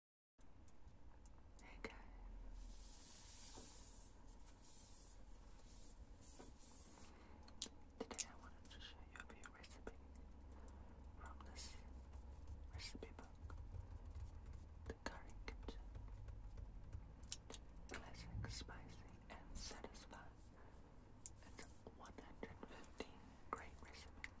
Hey Today I wanted to show you a few recipes from this recipe book. The Curry Classic, spicy, and satisfying. It's 115 great recipes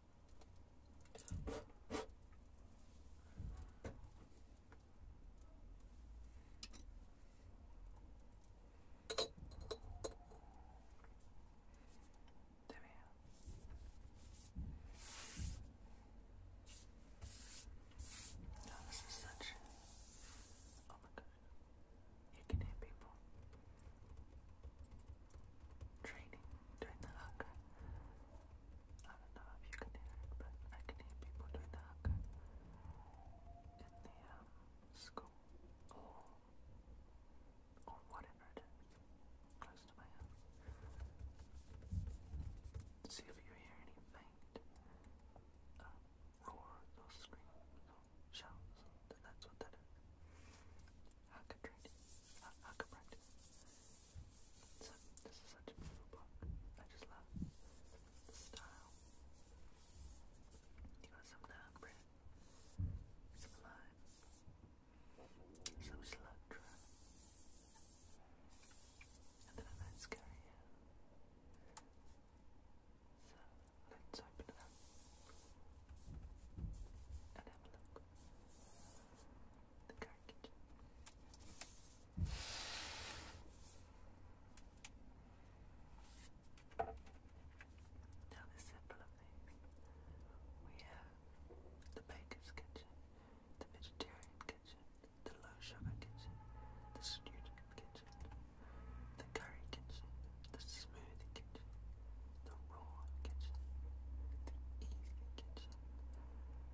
Now oh, this is such. Oh my god. You can hear people training doing the I don't know if you can hear it, but I can hear people doing the in the um, school or, or whatever close to my house. See if you hear any faint um, roars or screams That's what that is. Acuprint. Acuprint. So, this is such a beautiful book. I just love the style. You got some Acuprint, some lime, some cilantro, and then a mascara here. So, let's open it up and have look. The cartridge. Now the symbol of these. We have the baker's kitchen, the vegetarian kitchen, the low sugar kitchen, the student kitchen, the curry kitchen, the smooth kitchen, the raw kitchen, the easy kitchen,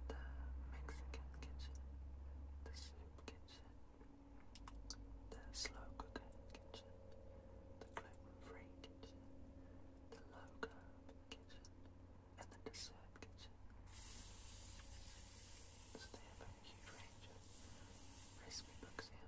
the Mexican kitchen, the soup kitchen, the slow cooker kitchen, the gluten-free kitchen, the low carb kitchen, and the dessert kitchen. So they have a huge range of recipe books here.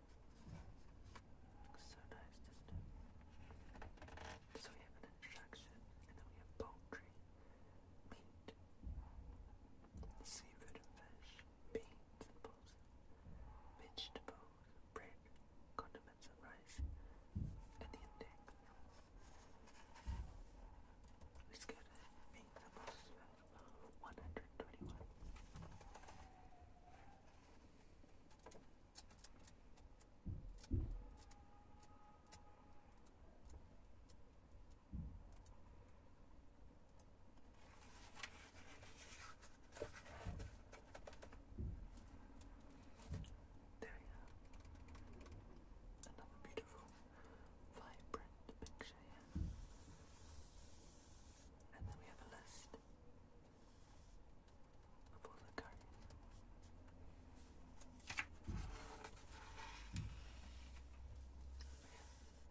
Looks so nice, So we have an attraction, and then we have poultry, meat, seafood and fish, beans and bulls, vegetables, bread, condiments and rice, and the index. We scared it being the most 121. There we go. Another beautiful, vibrant picture here. And then we have a list Pull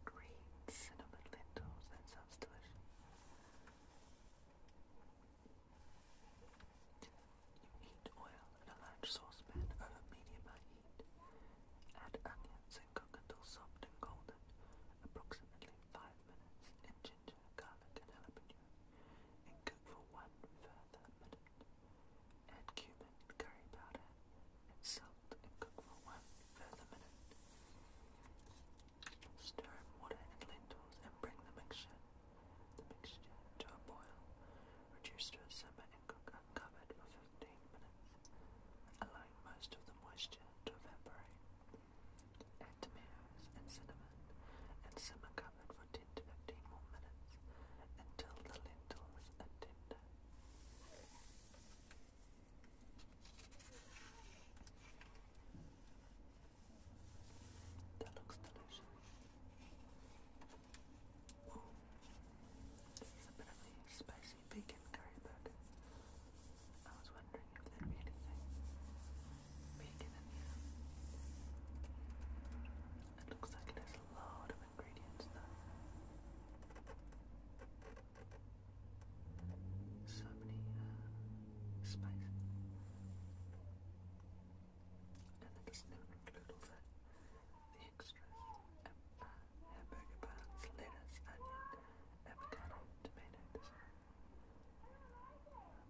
Green cinnamon lentils, that sounds delicious. You heat oil in a large saucepan over medium high heat. Add onions and cook until soft and golden, approximately five minutes ginger, garlic and jalapeno and cook for one further minute. Add cumin, curry powder and salt and cook for one further minute. Stir in water and lentils and bring the mixture, the mixture to a boil. Reduce to a simmer and cook uncovered for 15 minutes, allowing most of the moisture to evaporate. Add tomatoes and cinnamon and simmer covered for 10 to 15 more minutes until the lentils are tender. That looks delicious. Ooh, there's a bit of bacon curry burger. I was wondering if there'd be anything bacon in here. It looks like it has a lot of ingredients though. So many uh, spices. And that doesn't even include all the, extras hamburger buns, lettuce, onion, avocado, tomato.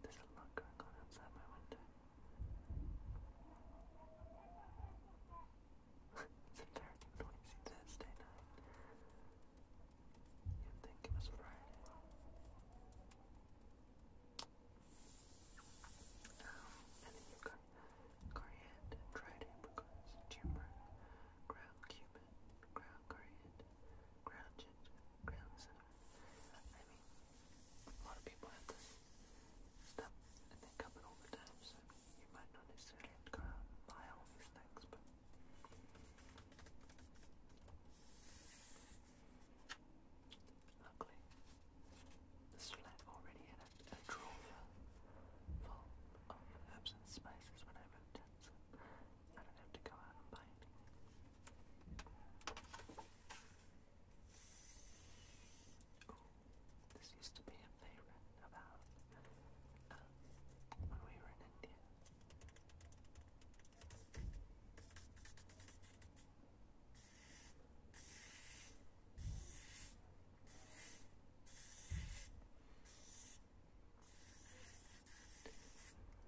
There's a, lot going on outside my window. it's a terribly noisy Thursday night. you think it was Friday. and then you've got coriander, dried apricots, turmeric, ground cumin, ground coriander, ground ginger, ground cinnamon. I mean, a lot of people have this stuff in their cupboard all the time, so you might not necessarily have to go all these things, but. Luckily, this flat already had a drawer full of herbs and spices when I moved in. I don't have to go out and buy anything. this used to be a favorite of ours um, when we were in India.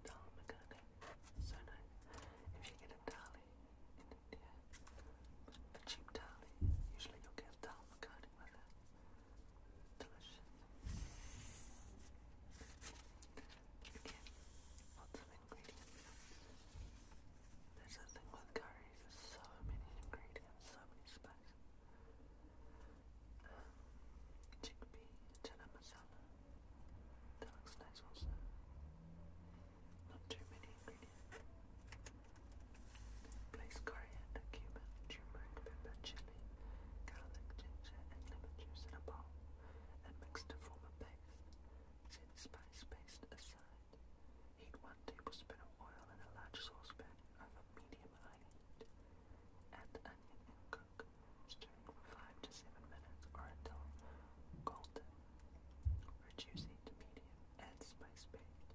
Dal Makhani. So nice. If you get a dali in India, a cheap dali, usually you'll get dal makhani with it. Delicious. Again, lots of ingredients. There's a thing with curries, there's so many ingredients, so many spices. Chickpea chana masala. That looks nice also. Not too many ingredients. Place coriander, cumin, turmeric, pepper, chili, garlic, ginger, and lemon juice in a bowl and mix to form a paste. Set spice paste aside. Heat one tablespoon of oil in a large saucepan pan over medium high heat. Add onion and cook, stirring for 5 to 7 minutes or until golden. Reduce heat to add spice paste.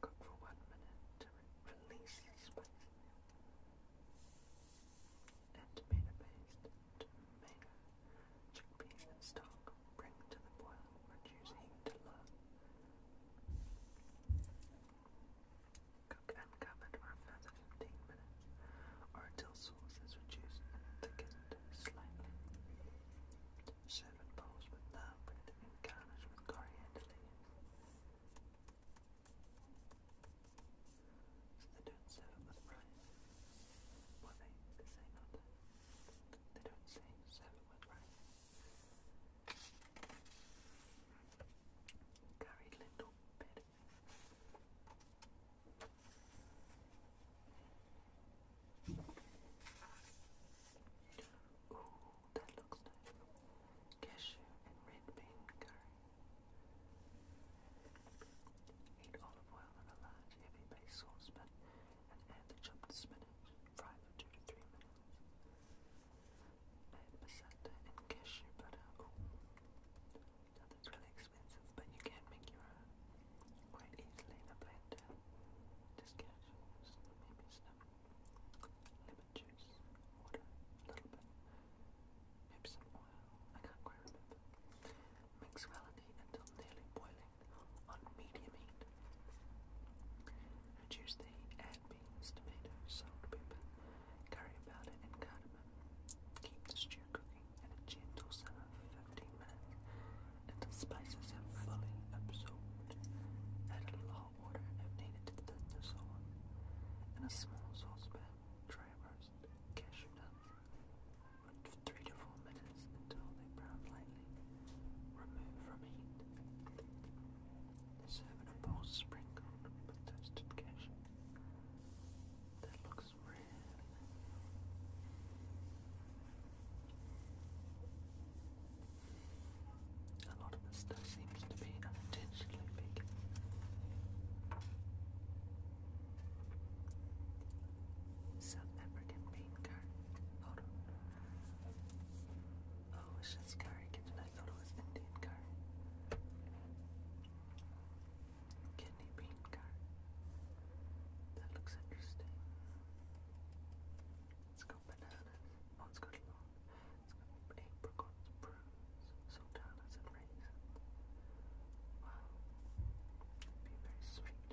Cook for 1 minute to release the spices. Add tomato paste, tomato, chickpeas stock. Bring to the boil, reduce heat to low. Cook uncovered for further 15 minutes or until sauce is thickened slightly. Serve in bowls with love and garnish with coriander leaves. So they don't serve it with rice. Well, they say not. They don't say serve it with rice. Curry little bit. Ooh, that looks nice. Cashew and red bean curry. Heat olive oil in a large, heavy base saucepan and add the chopped spinach. Fry for two to three minutes placenta and cashew butter. Uh, oh, that's really expensive, but you can make your own quite easily in a blender. Just cashews, maybe some lemon juice, water, a little bit, maybe some oil, I can't quite remember. Mix well until nearly boiling on medium heat. I choose to beans, tomatoes, salt, pepper, curry powder, and cardamom. Keep the stew cooking at a gentle simmer for 15 minutes until spices have fully absorbed. Add a little hot water if needed to thin the sauce. In a small saucepan, dry roast cashew for 3 to 4 minutes until they brown lightly. Remove from heat. Serve in a sprinkled with toasted cashew. That looks really A lot of this stuff seems to be unintentionally big. South African bean curd. Oh, it's just curry I thought it was Indian curry. Kidney bean curry. That looks interesting. It's got bananas. Oh, it's got long. It's apricots, prunes, sultanas, and raisins. Wow. be very sweet.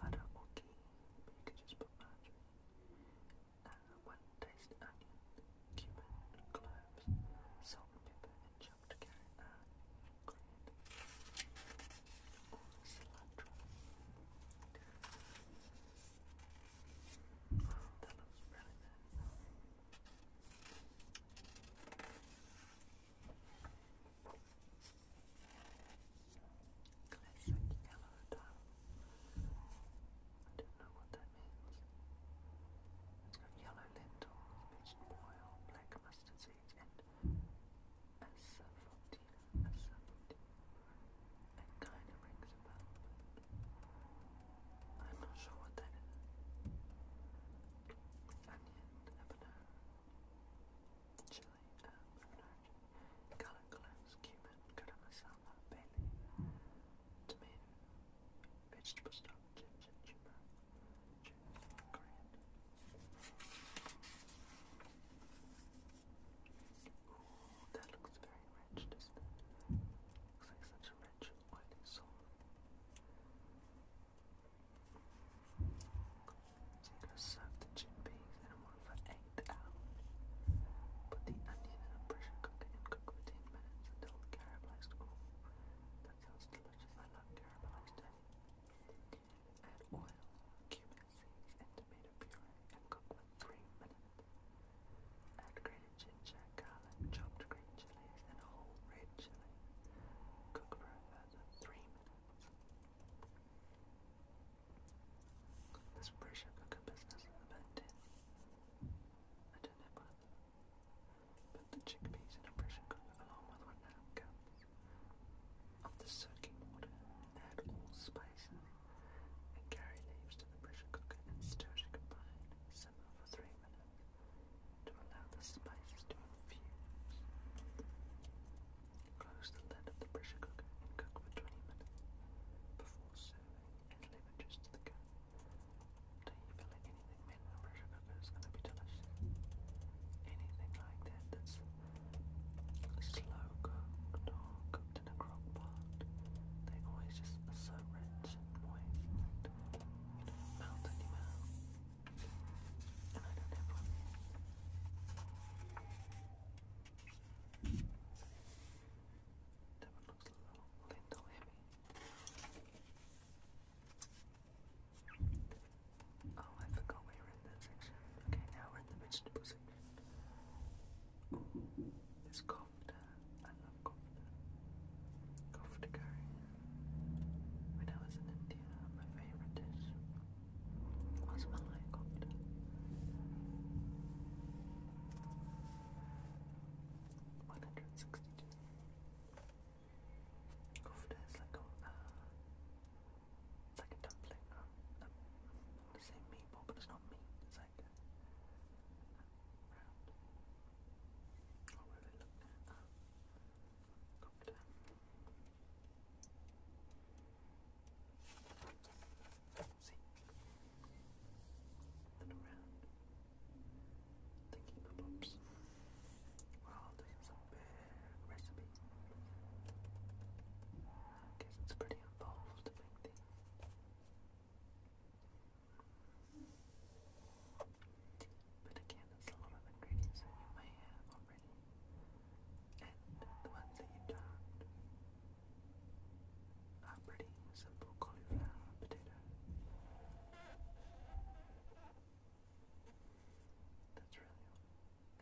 butter or you could just put margarine. one diced onion, cumin, cloves, salt pepper, and chopped carrot are grand. Or cilantro. that looks really nice. Classic yellow tile. I don't know what that means. It's got yellow lentils, vegetable oil, black mustard seeds, and asafoetida. Asafoetida. It kind of rings a bell, I'm not sure what that is. Onion, habanero, chili, herbs, spinach, garlic cumin, garam masala, tomato, vegetable stock, ginger, turmeric, ginger, coriander. Ooh, that looks very rich, doesn't it? Looks like such a rich, oily sauce. Chico served the chickpeas in a one for eight Put the onion in a pressure cooker and cook for ten minutes until caramelized. Oh, that sounds delicious. I love caramelized egg. Add oil, cumin seeds, and tomato puree and cook for three minutes. Add grated ginger, garlic, chopped green chilies, and whole red chili. Cook for over three minutes. Put the chickpeas in a pressure cooker along with one cup of the soaking water. Add all spices and carry leaves to the pressure cooker and stir to combine. Simmer for three minutes to allow the spices to infuse. Close the lid of the pressure cooker and cook for 20 minutes before serving. Add lemon juice the cup. Do you feel anything made in a pressure cooker is going to be delicious? Anything like that that's slow cooked or cooked in a crock pot, they always just are so and moist you know, melt in your Oh, I forgot we were in that section. Okay, now we're in the vegetable section. Ooh, this cofter. I love cofter. Cofter curry. When I was in India, my favorite dish was Malay kofta. One hundred sixty-two. Kofta is like a, uh, it's like a dumpling. Um, um, meatball, but it's not meat. It's like a, uh, round. I at. Kopter. See? Then around. Thinking of Well, this is big recipe. I guess it's pretty involved to make these. But again, it's a lot of ingredients you may have already, and the ones that you don't are pretty simple cauliflower, potato. That's really all.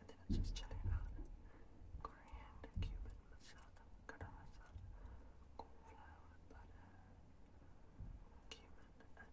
And then it's just chili powder, coriander, cumin, masala, garam masala, cornflour, butter, cumin, and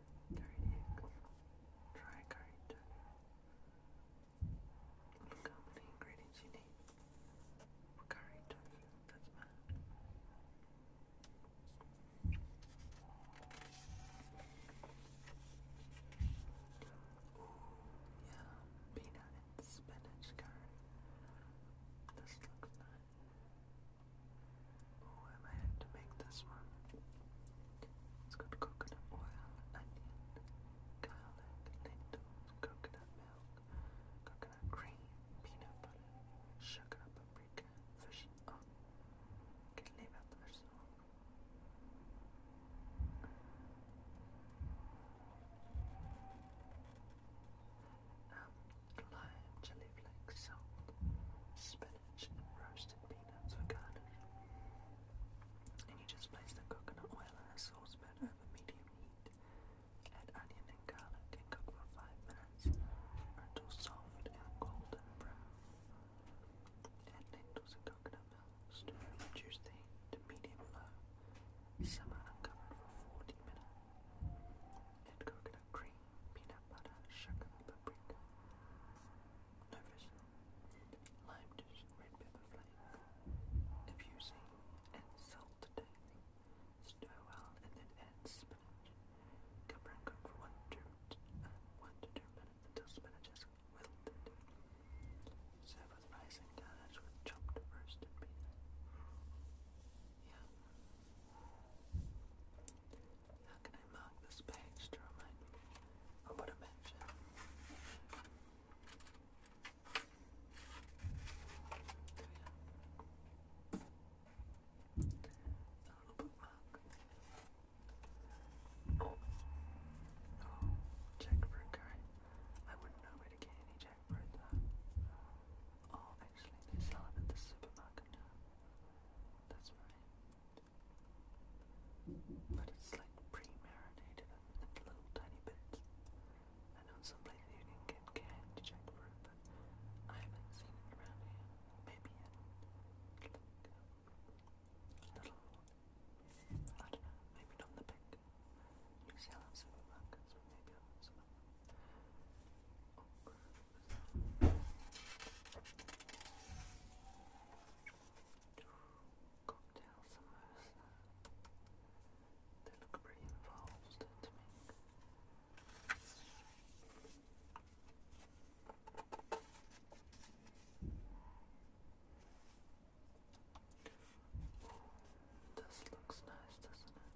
curried eggs, curry Look how many ingredients you need for curry That's mine. Ooh, yeah, peanut and spinach curry. This looks nice. Oh, I might have to make this one. It's got coconut oil, onion, garlic, lentils, coconut milk, coconut cream, peanut butter, sugar, paprika, fish. Oh, I can leave um, lime, chili flakes, salt, spinach, and roasted peanuts for garnish. And you just place the coconut oil in a saucepan over medium heat. Add onion and garlic and cook for 5 minutes or until soft and golden brown. Add lentils and coconut milk, stir and reduce the heat to medium low. Simmer uncovered for 40 minutes. Add coconut cream peanut butter, sugar, paprika, no lime juice, red pepper flake, if and salt to taste. Stir well and then add spinach. Cover and cook for one to, uh, one to two minutes until spinach wilted. Serve with rice and garnish with chopped roasted Yeah, how can I mark this page to remind me I mentioned? There we are. A little bookmark. Oh, oh jackfruit curry. I wouldn't know where to get any jackfruit though. Oh, actually, they sell it at the supermarket That's right. But it's like pre-marinated in little tiny bits. I know some places you can get canned jackfruit, but I haven't seen it around here. Maybe a little, I don't know, maybe not the big New Zealand supermarkets, but maybe on Cocktails and mimosa. They look pretty involved to me. This looks nice, doesn't it?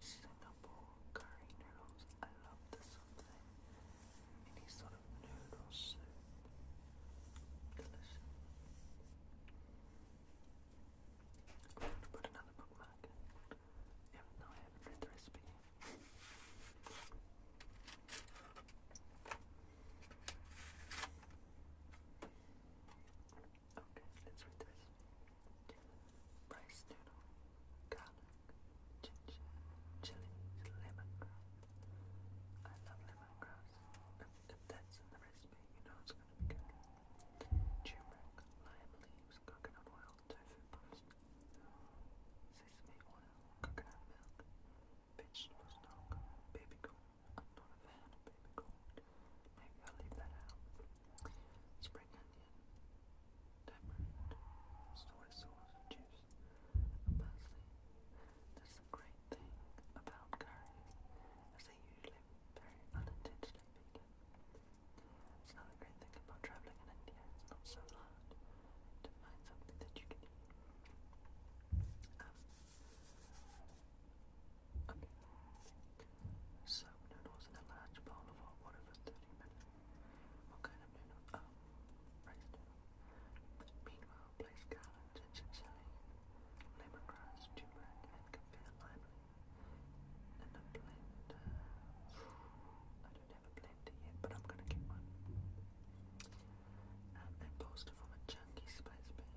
Singapore curry noodles. I love the something. Any sort of noodle soup. Delicious. I'm going to put another bookmark. I haven't read the recipe. Okay, let's read this. Rice noodle, garlic, ginger, chilies, lemongrass. I love lemongrass. If, if that's in the recipe, you know it's going to be good. Turmeric, lime leaves, coconut oil, tofu paste, sesame oil, coconut milk, vegetable stock, baby corn. I'm not a fan of baby corn. Maybe I'll leave that out. Spring onion, tamarind, soy sauce, juice, parsley. That's the great thing about curries, as they usually very unintentionally vegan. It's another great thing about travelling in India, it's not so hard to find something that you can eat. Um, some noodles in a large bowl of hot water for 30 minutes. What kind of noodle? Oh, rice noodle. Meanwhile, place garlic, ginger chili, lemongrass, turmeric, and kaffir lively a blender. I don't have a blender yet, but I'm gonna get one. Um, and bolster from a chunky spice pan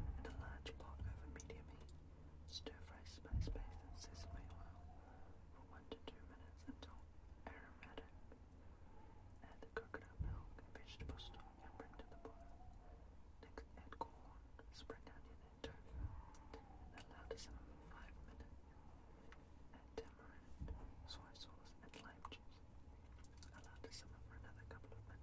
in a large pot over medium heat. Stir-fry spice paste and sesame oil for 1 to 2 minutes until aromatic. Add the coconut milk, vegetable stock, and bring to the boil. add corn, spring onion, and tofu. Allow to simmer for 5 minutes. Add tamarind, soy sauce, and lime juice. Allow to simmer for another couple of minutes.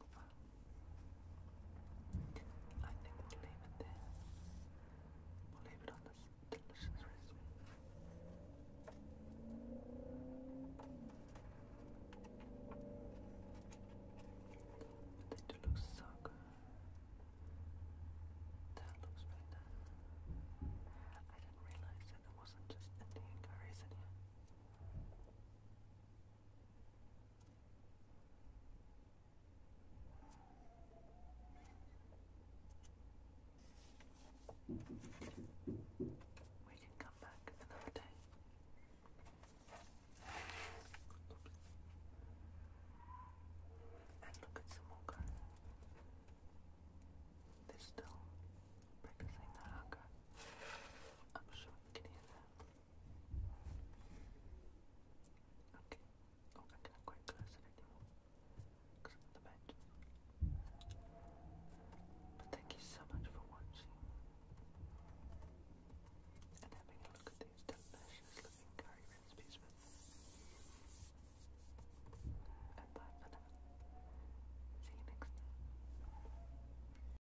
Well, I think we'll leave it there. We'll leave it on this delicious recipe. But they so good. That looks really I didn't realize that it wasn't just Indian we can come back another day. And look at some more girls. They're still practicing their haka. I'm sure you can hear that. Okay. Oh, I'm getting quite close anymore because of the match. But thank you so much for watching and having a look at these delicious looking curry recipes with me. And bye for now. See you next time.